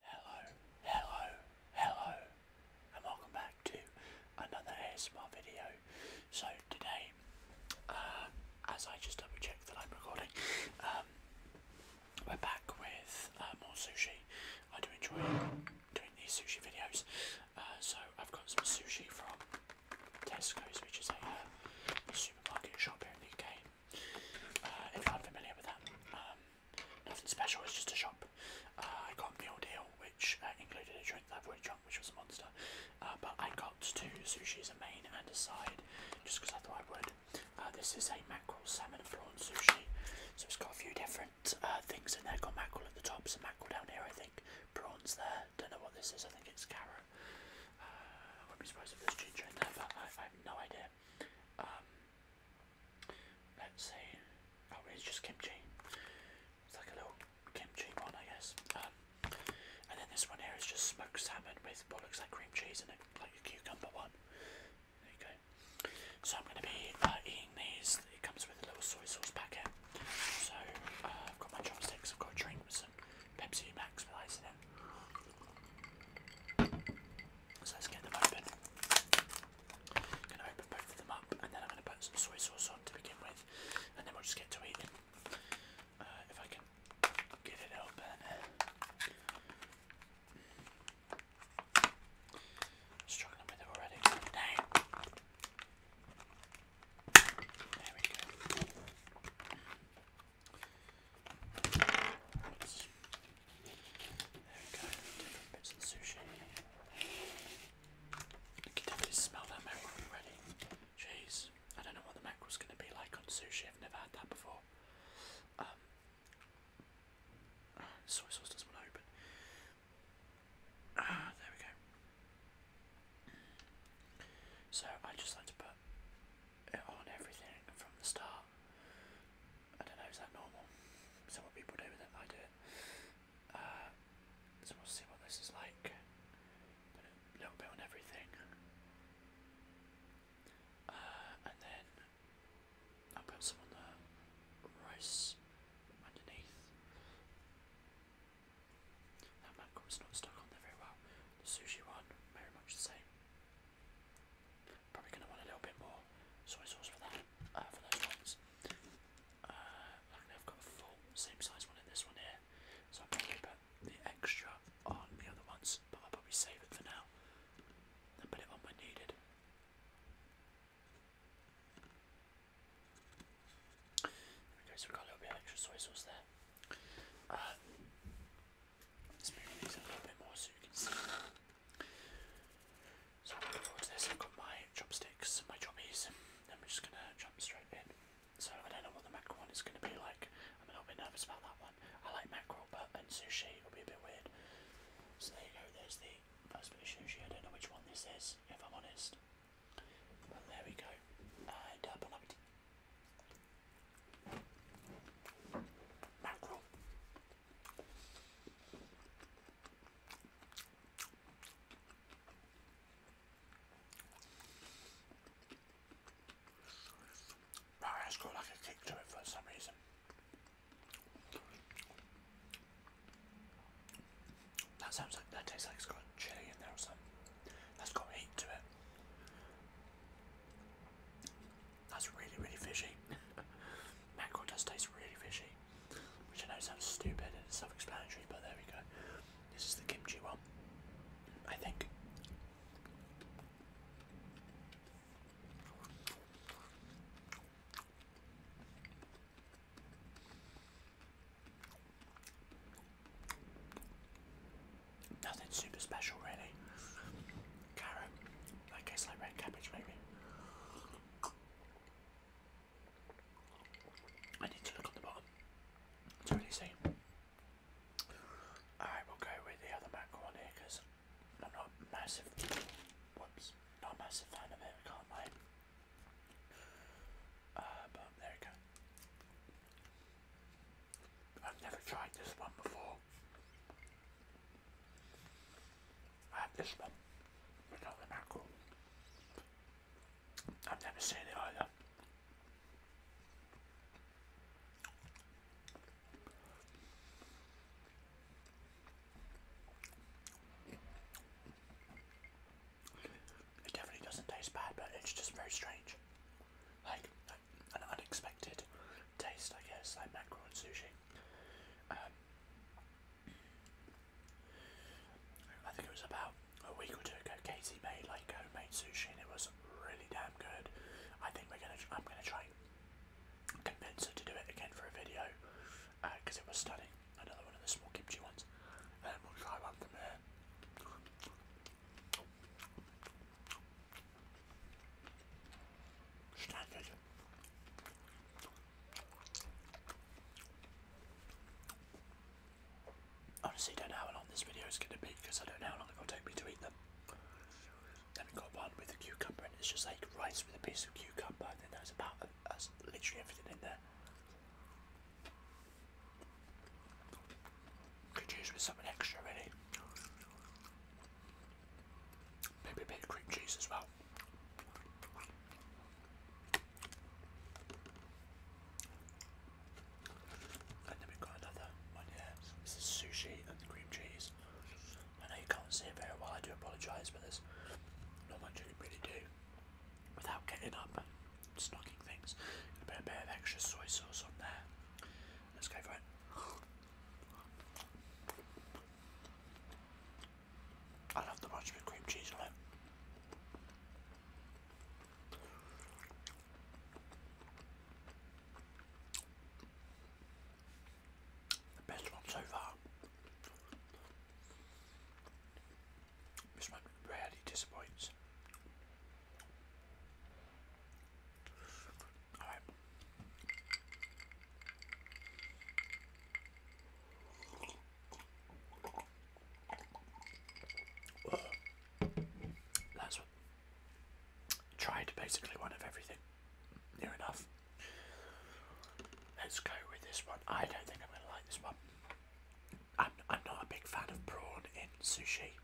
Hello, hello, hello, and welcome back to another ASMR video. So today, uh, as I just double check that I'm recording, um, we're back with uh, more sushi. I do enjoy doing these sushi videos. Uh, so I've got some sushi from Tesco's, which is a supermarket shop here in the UK. Uh, if you're unfamiliar with that, um, nothing special, it's just a shop. Uh, I got the meal deal which uh, included a drink that I've already drunk, which was a monster. but I got two sushis, a main and a side, just because I thought I would. this is a mackerel, salmon and prawn sushi. So it's got a few different things in there. Got mackerel at the top, some mackerel down here, I think. Prawns there. Don't know what this is. I think it's Kara. I wouldn't be surprised if there's ginger in there, but I, have no idea. Um, Let's see. Oh, it's just kimchi. It's like a little kimchi one, I guess. Um, and then this one here is just smoked salmon with what looks like cream cheese in it, like a cucumber one. There you go. So I'm going to be uh, eating these. It comes with a little soy sauce packet. So uh, I've got my chopsticks. I've got a drink with some Pepsi Max with ice in it. So let's get them open. I'm going to open both of them up and then I'm going to put some soy sauce on to begin with and then we'll just get to eating. Uh, if I can get it open. Struggling with it already. There we go. There we go, bits of sushi. I can smell that mackerel already. Jeez, I don't know what the mackerel's going to be like on sushi, I've never had that before. soy sauce doesn't open. Ah, there we go. So I just like to put it on everything from the start. I don't know, is that normal? Some people do it, I do it. Uh, so we'll see what this is like. Put a little bit on everything. Uh, and then I'll put some on the rice underneath. That mackerel's not stuck on there very well. The sushi one, very much the same. Probably going to want a little bit more soy sauce for that, uh, for those ones. Uh, I've got a full same size one in this one here, so I'll probably put the extra on the other ones, but I'll probably save it for now and put it on when needed. Okay, so got a little bit extra soy sauce there. let's move these a little bit more so so I'm looking forward to this. I've got my chopsticks, my choppies, and we're just gonna jump straight in. So I don't know what the mackerel one is gonna be like. I'm a little bit nervous about that one. I like mackerel, but and sushi will be a bit weird. So there you go. There's the first bit of sushi. I don't know which one this is, if I'm honest. But there we go. And uh, bon appetit. Mackerel that's got like a kick to it for some reason. That sounds like that tastes like it's got chili in there or something. That's got heat to it. That's really, really fishy. Mackerel does taste really fishy, which I know sounds stupid and it's self-explanatory, but there we go. This is the kimchi one, I think. Nothing super special, really. Carrot, I guess like red cabbage maybe. I need to look on the bottom to really see. I will go with the other mac because I'm not massive. Whoops, not massive fan of it. I uh, there we go. I've never tried this one before. I have this one, but not the mackerel. I've never seen it either. It definitely doesn't taste bad, but it's just very strange. Like, an unexpected taste, I guess, like mackerel and sushi. Um, I think it was about a week or two ago. Katie made like homemade sushi, and it was really damn good. I think we're gonna. I'm gonna try and convince her to do it again for a video because uh, it was stunning. Another one of the small kimchi ones, and we'll try one from there started. Honestly, don't know how long this video is going to be because I don't know how long it's going to take me to eat them. Then we got one with a cucumber, and it's just like rice with a piece of cucumber, and then there's about that's literally everything in there. Could use with something extra, really. Maybe a bit of cream cheese as well. And then we've got another one here. This is sushi and the cream cheese. I know you can't see it very well, I do apologise, but there's not much you can really do without getting up and knocking things. A bit, a bit of extra soy sauce on there. Let's go for it. I love the bunch with cream cheese on it. best one so far. This one rarely disappoints. That's tried basically one of everything. Near enough. Let's go with this one. I don't think I'm gonna like this one. I'm I'm not a big fan of prawn in sushi.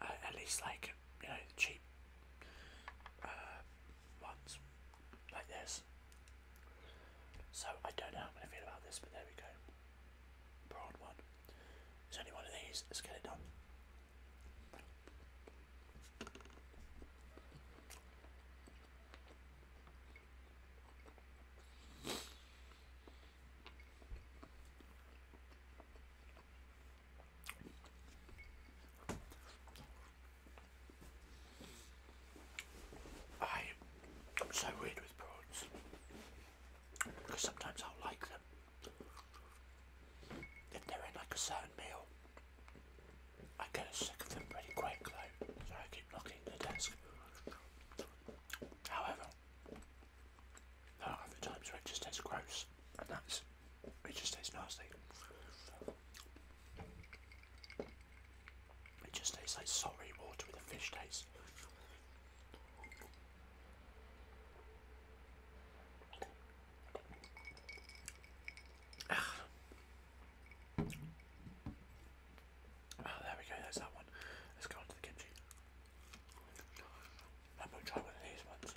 Uh, at least like you know cheap uh, ones like this. So I don't know how I'm gonna feel about this, but there we go. Prawn one. There's only one of these. Let's get it done. I am so weird with prawns because sometimes I'll like them if they're in like a certain meal. I get sick of them pretty quick though, so I keep knocking the desk. However, other times where it just tastes gross, and that's it just tastes nasty. It just tastes like sorry water with a fish taste. Oh, there we go, there's that one. Let's go on the kimchi. I'm going to try one of these ones.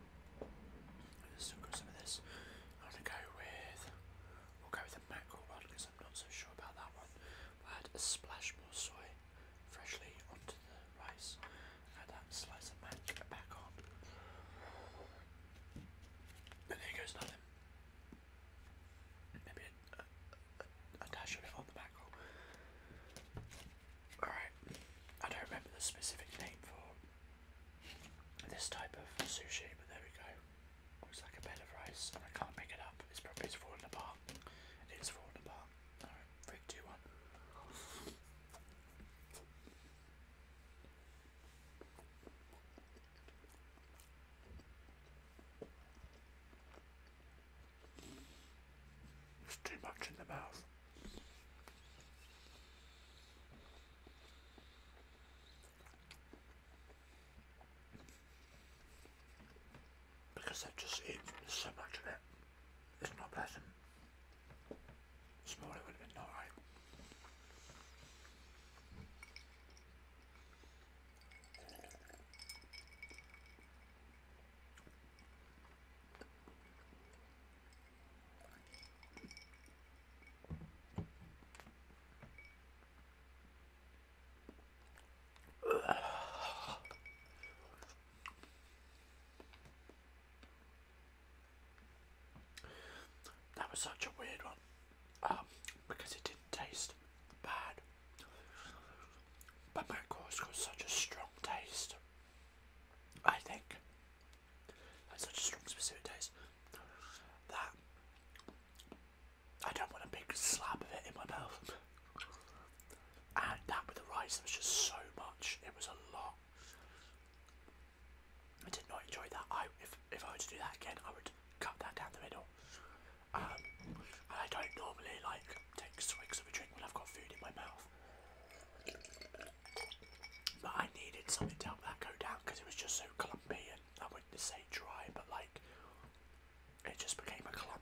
let still got some of this. I'm gonna go with we'll go with the mackerel one because I'm not so sure about that one. We'll add a splash more soy freshly onto the rice. Add that slice of mac back on. And there goes nothing. Maybe a, dash of it on the mackerel. Alright, I don't remember the specific name for this type of sushi, but there we go. Looks like a bed of rice, and I can't pick it up. It's probably it's falling apart. It is falling apart. Alright, 3, 2, 1. It's too much in the mouth. Because I've just eaten so much of it, it's not pleasant. Smaller would have been alright. That was such a weird one um, because it didn't taste bad, but my course got such a strong taste. I think that's such a strong specific taste that I don't want a big slab of it in my mouth. And that with the rice, there was just so much. It was a lot. I did not enjoy that. I if if I were to do that again, I would cut that down the middle. Um, and I don't normally like take swigs of a drink when I've got food in my mouth. But I needed something to help that go down because it was just so clumpy and I wouldn't say dry, but like it just became a clump.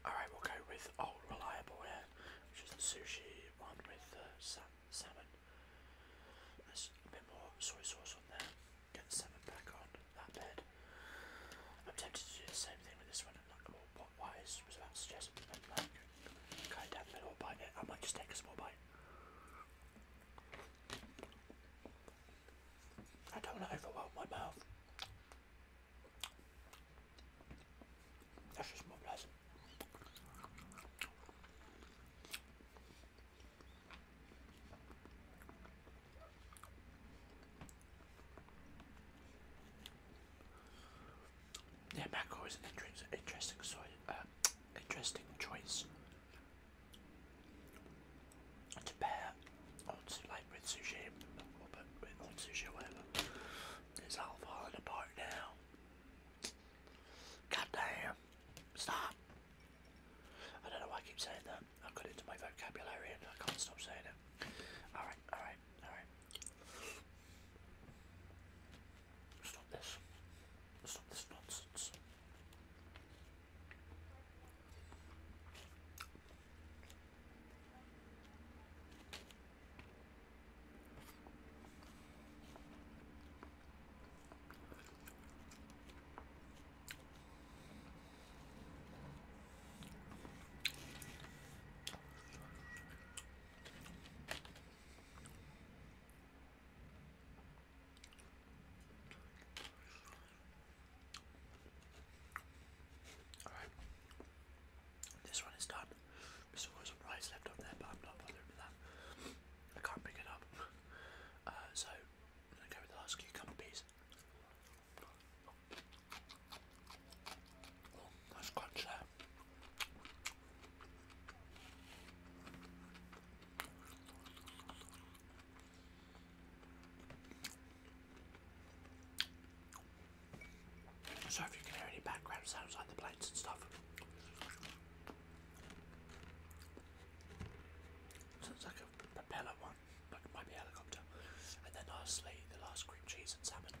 Alright, we'll go with Old Reliable here, which is the sushi one with uh, salmon. a bit more soy sauce on there. Get the salmon back on that bed. I'm tempted to do the same thing with this one like, well, was about suggest, and like, okay, down the middle, bite it. I might just take a small bite. I don't want to overwhelm my mouth. That's just more pleasant. Yeah, mackerel is an interesting soy, uh, interesting choice to pair like with sushi or with on sushi whatever. It's all falling apart now. God damn! Stop! I don't know why I keep saying that. I've got into my vocabulary and I can't stop saying it. Alright, alright. Alright. Stop this. Stop this nonsense. All right, this one is done. There's still some rice left on there, but I'm not bothering with that. I can't pick it up, uh, so I'm gonna go with the last cucumber piece. That's quite So if you can hear any background sounds like the plates and stuff. Sounds like a propeller one, like it might be helicopter. And then lastly, the last cream cheese and salmon.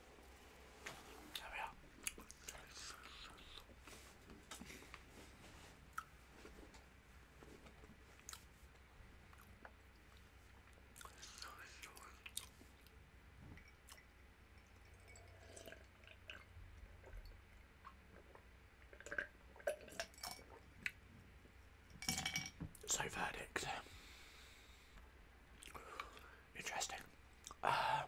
So verdict. Interesting. Uh,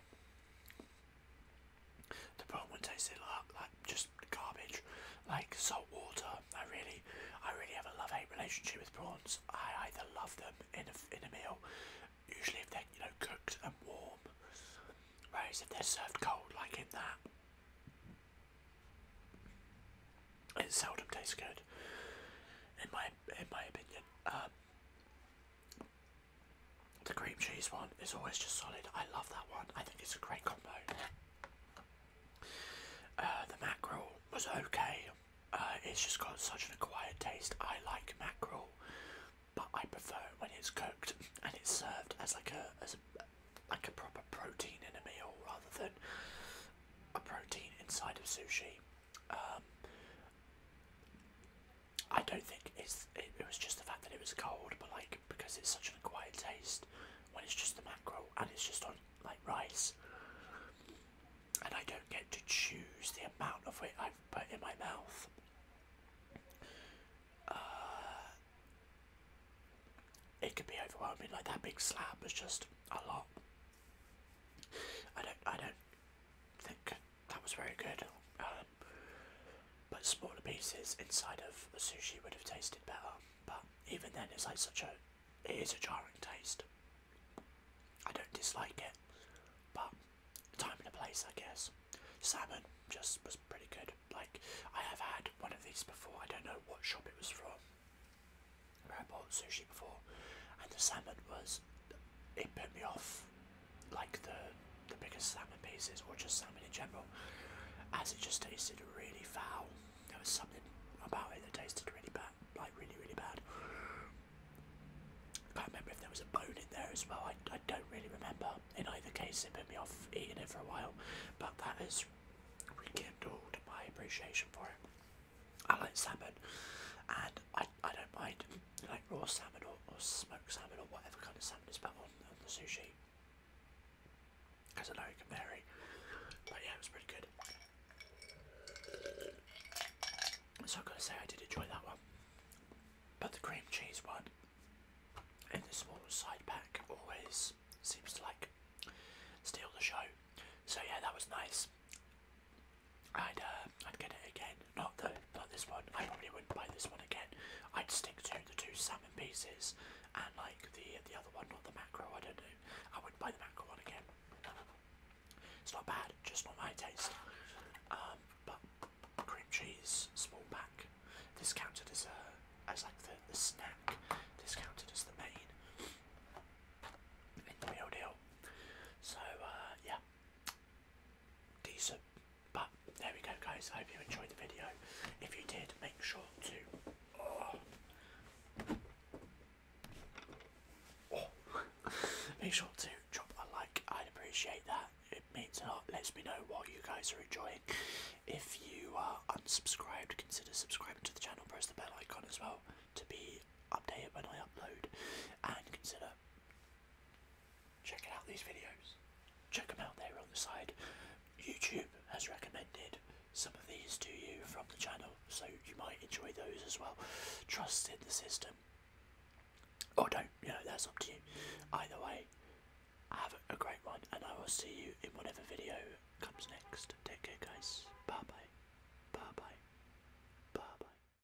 the Bowman tasted like, like just garbage, like salt water. I really, I really have a love-hate relationship with prawns. I either love them in a, in a meal, usually if they're you know cooked and warm, whereas if they're served cold, like in that, it seldom tastes good. In my in my opinion, um, the cream cheese one is always just solid. I love that one. I think it's a great combo. Uh, the mackerel was okay. Uh, it's just got such an acquired taste. I like mackerel, but I prefer it when it's cooked and it's served as like a as like a proper protein in a meal rather than a protein inside of sushi. Um, I don't think it's it, was just the fact that it was cold, but like because it's such a quiet taste when it's just the mackerel and it's just on like rice, and I don't get to choose the amount of it I put in my mouth. Uh, it could be overwhelming. Like that big slab is just a lot. I don't. I don't think that was very good. Um, but smaller pieces inside of the sushi would have tasted better. But even then, it's like such a, it is a jarring taste. I don't dislike it, but time and a place, I guess. Salmon just was pretty good. Like I have had one of these before. I don't know what shop it was from. Where I bought sushi before, and the salmon was, it put me off like the the biggest salmon pieces or just salmon in general, as it just tasted really foul. There was something about it that tasted really bad, like really really bad. I can't remember if there was a bone in there as well. I, I don't really remember. In either case, it put me off eating it for a while. But that has rekindled my appreciation for it. I like salmon, and I I don't mind like raw salmon or, smoked salmon or whatever kind of salmon is put on, on the sushi because I know it can vary but yeah it was pretty good so I've got to say I did enjoy that one but the cream cheese one in the small side pack always seems to like steal the show so yeah that was nice I'd uh, I'd get it again. Not the not this one. I probably wouldn't buy this one again. I'd stick to the two salmon pieces and like the the other one, not the macro. I don't know. I wouldn't buy the macro one again. It's not bad, just not my taste. Um, but cream cheese, small pack, discounted as a as like the, the snack, discounted as the main in the meal deal. So uh, yeah, decent. But there we go, guys. I hope you enjoyed the video. If you did, make sure to. Oh, make sure to drop a like. I'd appreciate that. It means a lot. Lets me know what you guys are enjoying. If you are unsubscribed, consider subscribing to the channel. Press the bell icon as well to be updated when I upload, and consider Check out these videos. Check them out there on the side. YouTube has recommended some of these to you from the channel, so you might enjoy those as well. Trust in the system. Or don't, you know, that's up to you. Either way, have a great one, and I will see you in whatever video comes next. Take care, guys. Bye bye. Bye bye. Bye bye.